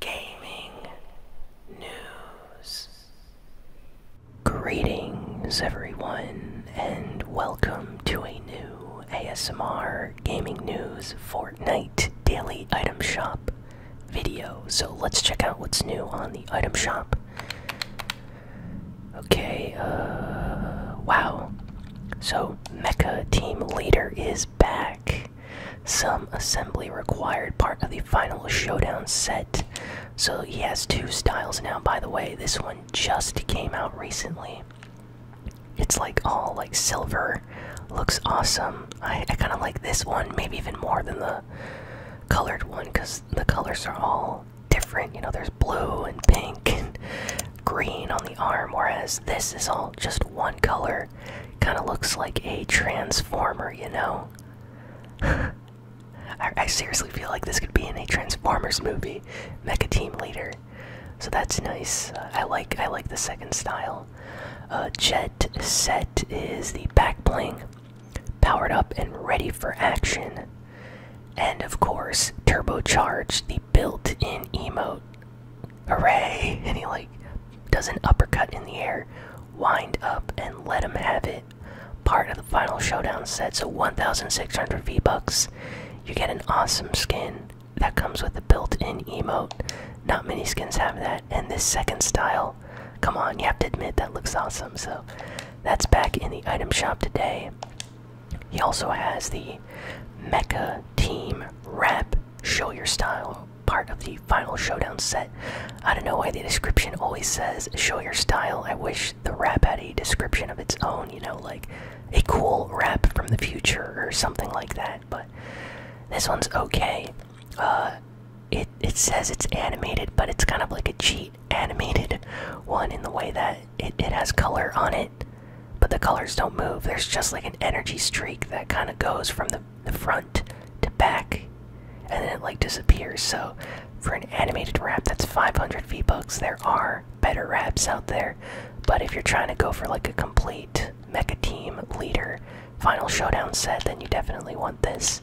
gaming news. Greetings, everyone, and welcome to a new ASMR Gaming News Fortnite Daily Item Shop video. So let's check out what's new on the item shop. Okay, uh, wow. So, Mecha Team Leader is back. Some assembly required part of the final showdown set. So he has two styles now. By the way, this one just came out recently. It's like all like silver, looks awesome. I, kind of like this one, maybe even more than the colored one, because the colors are all different. You know, there's blue and pink and green on the arm, whereas this is all just one color Kind of looks like a transformer, you know? I, seriously feel like this could be in a Transformers movie, Mecha Team Leader. So that's nice. Uh, I like I like the second style. Uh, Jet Set is the back bling, powered up and ready for action. And of course, Turbo Charge the built-in emote hooray! And he like does an uppercut in the air, wind up, and let him have it. Part of the final showdown set, so 1,600 V bucks. You get an awesome skin that comes with a built-in emote. Not many skins have that, and this second style. Come on, you have to admit that looks awesome. So that's back in the item shop today. He also has the Mecha Team Rap Show Your Style part of the final showdown set. I don't know why the description always says show your style. I wish the rap had a description of its own, you know, like a cool rap from the future or something like that, but this one's okay. Uh, it it says it's animated, but it's kind of like a cheat animated one in the way that it, it has color on it, but the colors don't move. There's just like an energy streak that kind of goes from the the front to back, and then it like disappears. So for an animated wrap, that's 500 V bucks. There are better wraps out there, but if you're trying to go for like a complete mecha team leader final showdown set, then you definitely want this.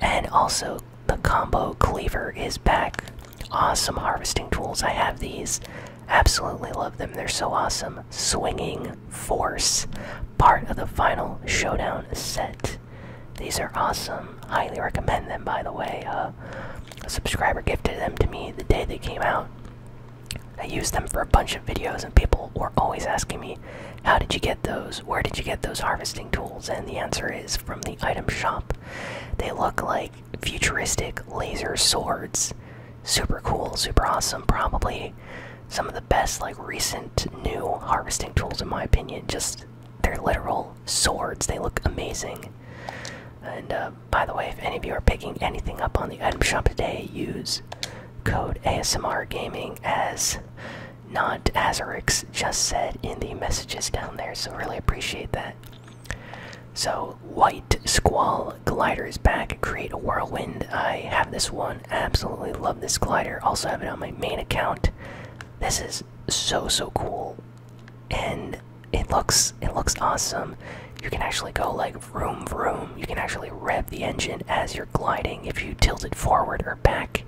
And also, the combo cleaver is back. Awesome harvesting tools. I have these. Absolutely love them. They're so awesome. Swinging Force, part of the Final Showdown set. These are awesome. Highly recommend them, by the way. Uh, a subscriber gifted them to me the day they came out. I used them for a bunch of videos, and people were always asking me, How did you get those? Where did you get those harvesting tools? And the answer is from the item shop. They look like futuristic laser swords. Super cool, super awesome. Probably some of the best like recent new harvesting tools in my opinion. Just they're literal swords. They look amazing. And uh, by the way, if any of you are picking anything up on the item shop today, use code ASMR Gaming as not Azarix just said in the messages down there. So really appreciate that. So white squall Tail glider is back. Create a whirlwind. I have this one. Absolutely love this glider. Also have it on my main account. This is so so cool, and it looks it looks awesome. You can actually go like vroom vroom. You can actually rev the engine as you're gliding if you tilt it forward or back.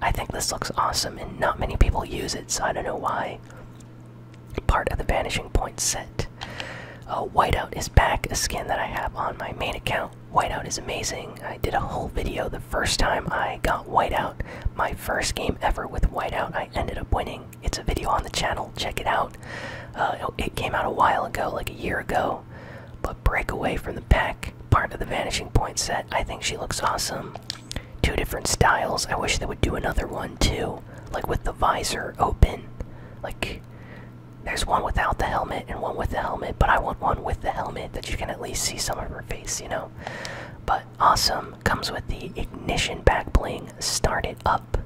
I think this looks awesome, and not many people use it, so I don't know why. Part of the vanishing point set. Uh, Whiteout is back, a skin that I have on my main account. Whiteout is amazing. I did a whole video the first time I got Whiteout. My first game ever with Whiteout, I ended up winning. It's a video on the channel, check it out. Uh, it came out a while ago, like a year ago. But Breakaway from the Pack, part of the Vanishing Point set, I think she looks awesome. Two different styles, I wish they would do another one too. Like with the visor open. Like, there's one without the helmet and one with the helmet, but I want one with the helmet that you can at least see some of her face, you know? But awesome. Comes with the ignition back bling. Start it up.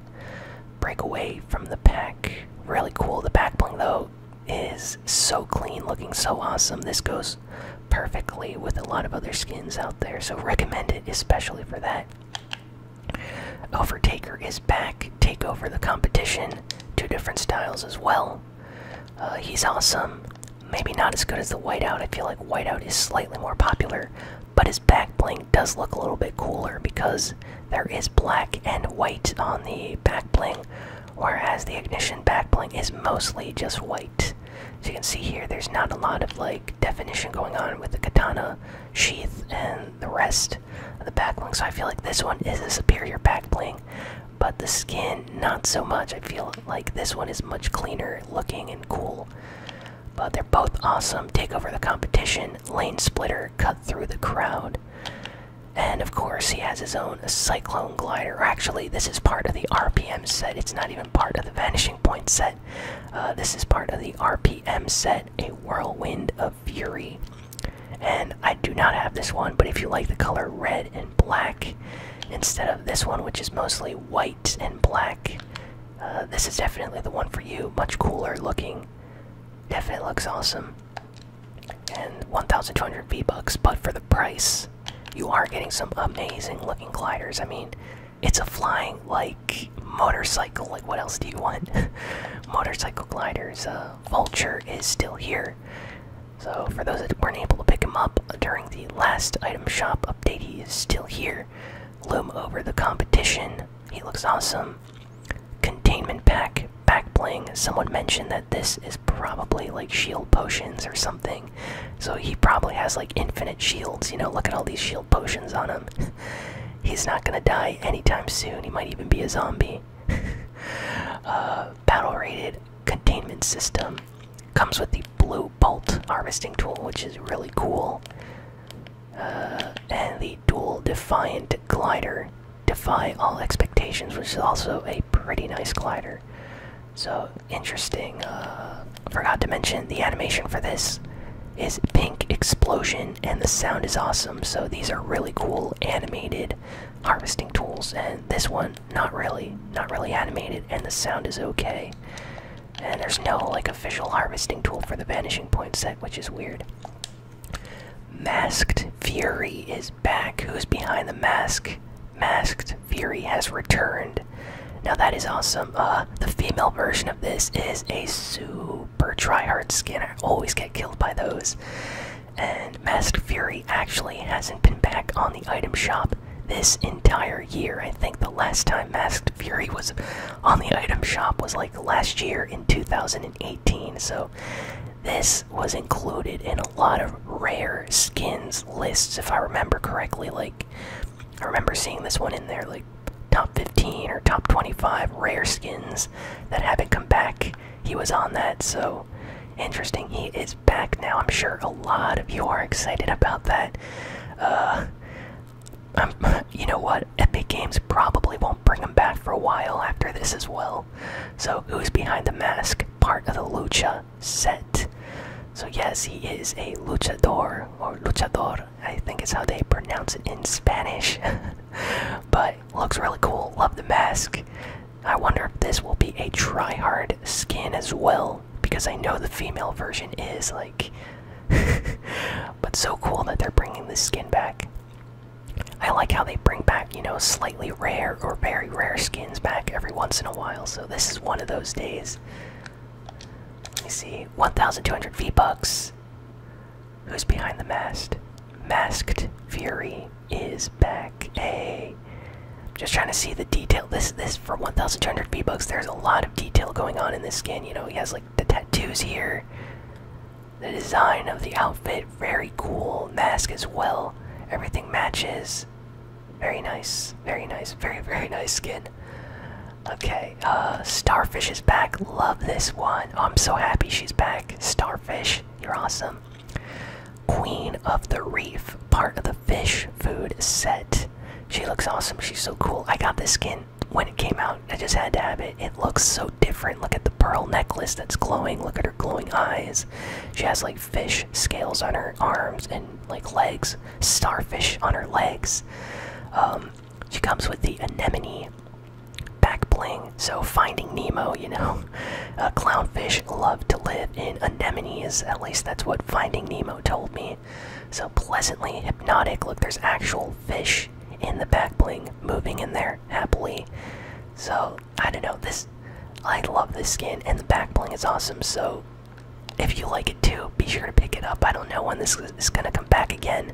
Break away from the pack. Really cool. The back bling, though, is so clean, looking so awesome. This goes perfectly with a lot of other skins out there, so recommend it especially for that. Overtaker is back, take over the competition. Two different styles as well. Uh, he's awesome. Maybe not as good as the whiteout. I feel like whiteout is slightly more popular, but his back bling does look a little bit cooler because there is black and white on the back bling, whereas the ignition back bling is mostly just white. As you can see here, there's not a lot of like definition going on with the katana sheath and the rest the back bling. So I feel like this one is a superior back bling, but the skin not so much. I feel like this one is much cleaner looking and cool. But they're both awesome. Take over the competition, lane splitter, cut through the crowd. And of course, he has his own Cyclone Glider. Actually, this is part of the RPM set. It's not even part of the Vanishing Point set. Uh, this is part of the RPM set, a Whirlwind of. Fury. And I do not have this one, but if you like the color red and black instead of this one, which is mostly white and black, uh, this is definitely the one for you. Much cooler looking. Definitely looks awesome. And 1,200 V-Bucks, but for the price, you are getting some amazing looking gliders. I mean, it's a flying like motorcycle. Like, what else do you want? motorcycle gliders. Uh, Vulture is still here. So, for those that weren't able to pick him up during the last item shop update, he is still here. Loom over the competition. He looks awesome. Containment pack, back playing. Someone mentioned that this is probably like shield potions or something. So, he probably has like infinite shields. You know, look at all these shield potions on him. he's not gonna die anytime soon. He might even be a zombie. uh, battle rated containment system comes with the blue bolt harvesting tool, which is really cool. Uh, and the dual defiant glider, defy all expectations, which is also a pretty nice glider. So interesting. Uh, forgot to mention the animation for this is pink explosion, and the sound is awesome. So these are really cool animated harvesting tools, and this one not really, not really animated, and the sound is okay. And there's no like official harvesting tool for the vanishing point set, which is weird. Masked Fury is back. Who's behind the mask? Masked Fury has returned. Now that is awesome. Uh, the female version of this is a super tryhard skin. I always killed by those. And Masked Fury actually hasn't been back on the item shop this entire year. I think the last time Masked Fury was on the item shop was like last year in 2018. So this was included in a lot of rare skins lists, if I remember correctly. Like, I remember seeing this one in there like top 15 or top 25 rare skins that haven't come back. He was on that, so interesting. He is back now. I'm sure a lot of you are excited about that. Uh, you know what? Epic Games probably won't bring him back for a while after this as well. So, who's behind the mask? Part of the Lucha set. So, yes, he is a luchador, or luchador, I think is how they pronounce it in Spanish. but looks really cool. Love the mask. I wonder if this will be a try-hard skin as well, because I know the female version is like. but so cool that they're bringing this skin back. I like how they bring back, you know, slightly rare or very rare skins back every once in a while. So this is one of those days. Let me see, 1,200 V bucks. Who's behind the mast? Masked Fury is back. Hey. Just trying to see the detail. This this for 1,200 V-Bucks, there's a lot of detail going on in this skin. You know, he has like the tattoos here. The design of the outfit, very cool. Mask as well. Everything matches. Very nice. Very nice. Very, very nice skin. Okay. Uh, starfish is back. Love this one. I'm so happy she's back. Starfish, you're awesome. Queen of the Reef, part of the fish food set. She looks awesome. She's so cool. I got this skin when it came out. I just had to have it. It looks so different. Look at the pearl necklace that's glowing. Look at her glowing eyes. She has like fish scales on her arms and like legs, starfish on her legs. Um, she comes with the anemone back bling. So finding Nemo, you know, uh, clownfish love to live in anemones. At least that's what Finding Nemo told me. So pleasantly hypnotic. Look, there's actual fish in the back bling moving in there happily. So I don't know this. I love this skin and the back bling is awesome. So if you like it too, be sure to pick it up. I don't know when this is gonna come back again,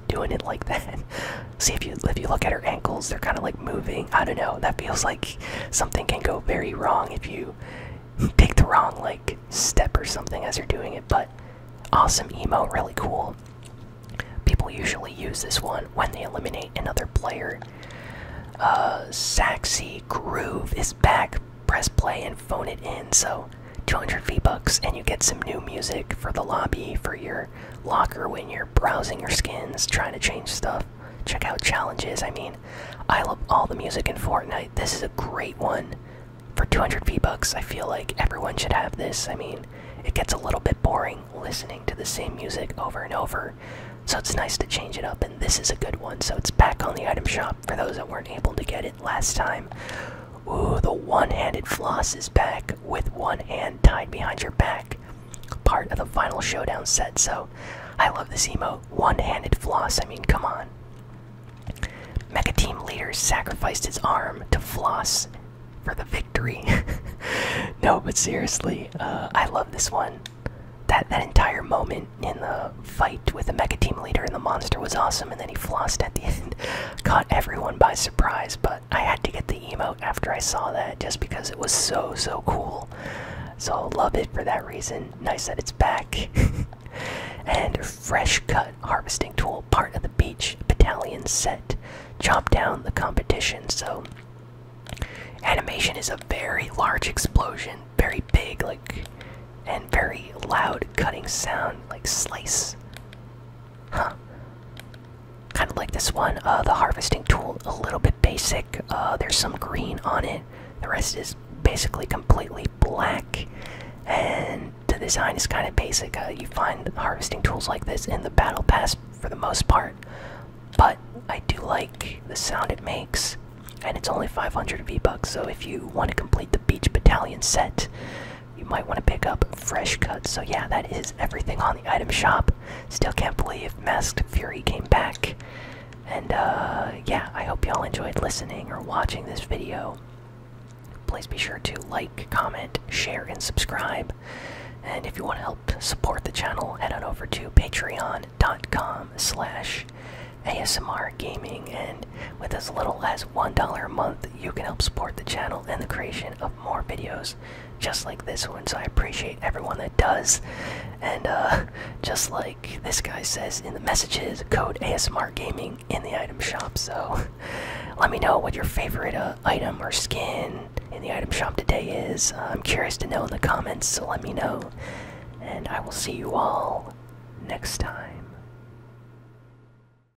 doing it like that. See if you if you look at her ankles, they're kind of like moving. I don't know. That feels like something can go very wrong if you take the wrong like step or something as you're doing it. But awesome emote, really cool. People usually use this one when they eliminate another player. Uh, Sexy Groove is back. Press play and phone it in. So 200 V-Bucks, and you get some new music for the lobby, for your locker when you're browsing your skins, trying to change stuff. Check out challenges. I mean, I love all the music in Fortnite. This is a great one. For 200 V-Bucks, I feel like everyone should have this. I mean, it gets a little bit boring listening to the same music over and over. So it's nice to change it up, and this is a good one. So it's back on the item shop for those that weren't able to get it last time. Ooh, the one-handed floss is back with one hand tied behind your back. Part of the final showdown set, so I love this emo One-handed floss, I mean, come on. Mega team leader sacrificed his arm to floss for the victory. no, but seriously, uh, I love this one. That that entire moment in the fight with the mega team leader and the monster was awesome, and then he flossed at the end, caught everyone by surprise. But I had to get the emote after I saw that just because it was so so cool. So love it for that reason. Nice that it's back. and fresh cut harvesting tool, part of the beach battalion set. Chop down the competition. So animation is a very large explosion, very big, like and very loud cutting sound, like slice. Huh. Kind of like this one. Uh, the harvesting tool, a little bit basic. Uh, there's some green on it. The rest is basically completely black. And the design is kind of basic. Uh, you find harvesting tools like this in the battle pass for the most part. But I do like the sound it makes. And it's only 500 V-Bucks, so if you want to complete the Beach Battalion set, you might want to pick up fresh cuts. So yeah, that is everything on the item shop. Still can't believe Masked Fury came back. And uh, yeah, I hope y'all enjoyed listening or watching this video. Please be sure to like, comment, share, and subscribe. And if you want to help support the channel, head on over to patreon.com slash ASMR Gaming. And with as little as $1 a month, you can help support the channel and the creation of more videos just like this one. So I appreciate everyone that does. And uh, just like this guy says in the messages, code ASMR Gaming in the item shop. So let me know what your favorite uh, item or skin in the item shop today is. I'm curious to know in the comments, so let me know. And I will see you all next time.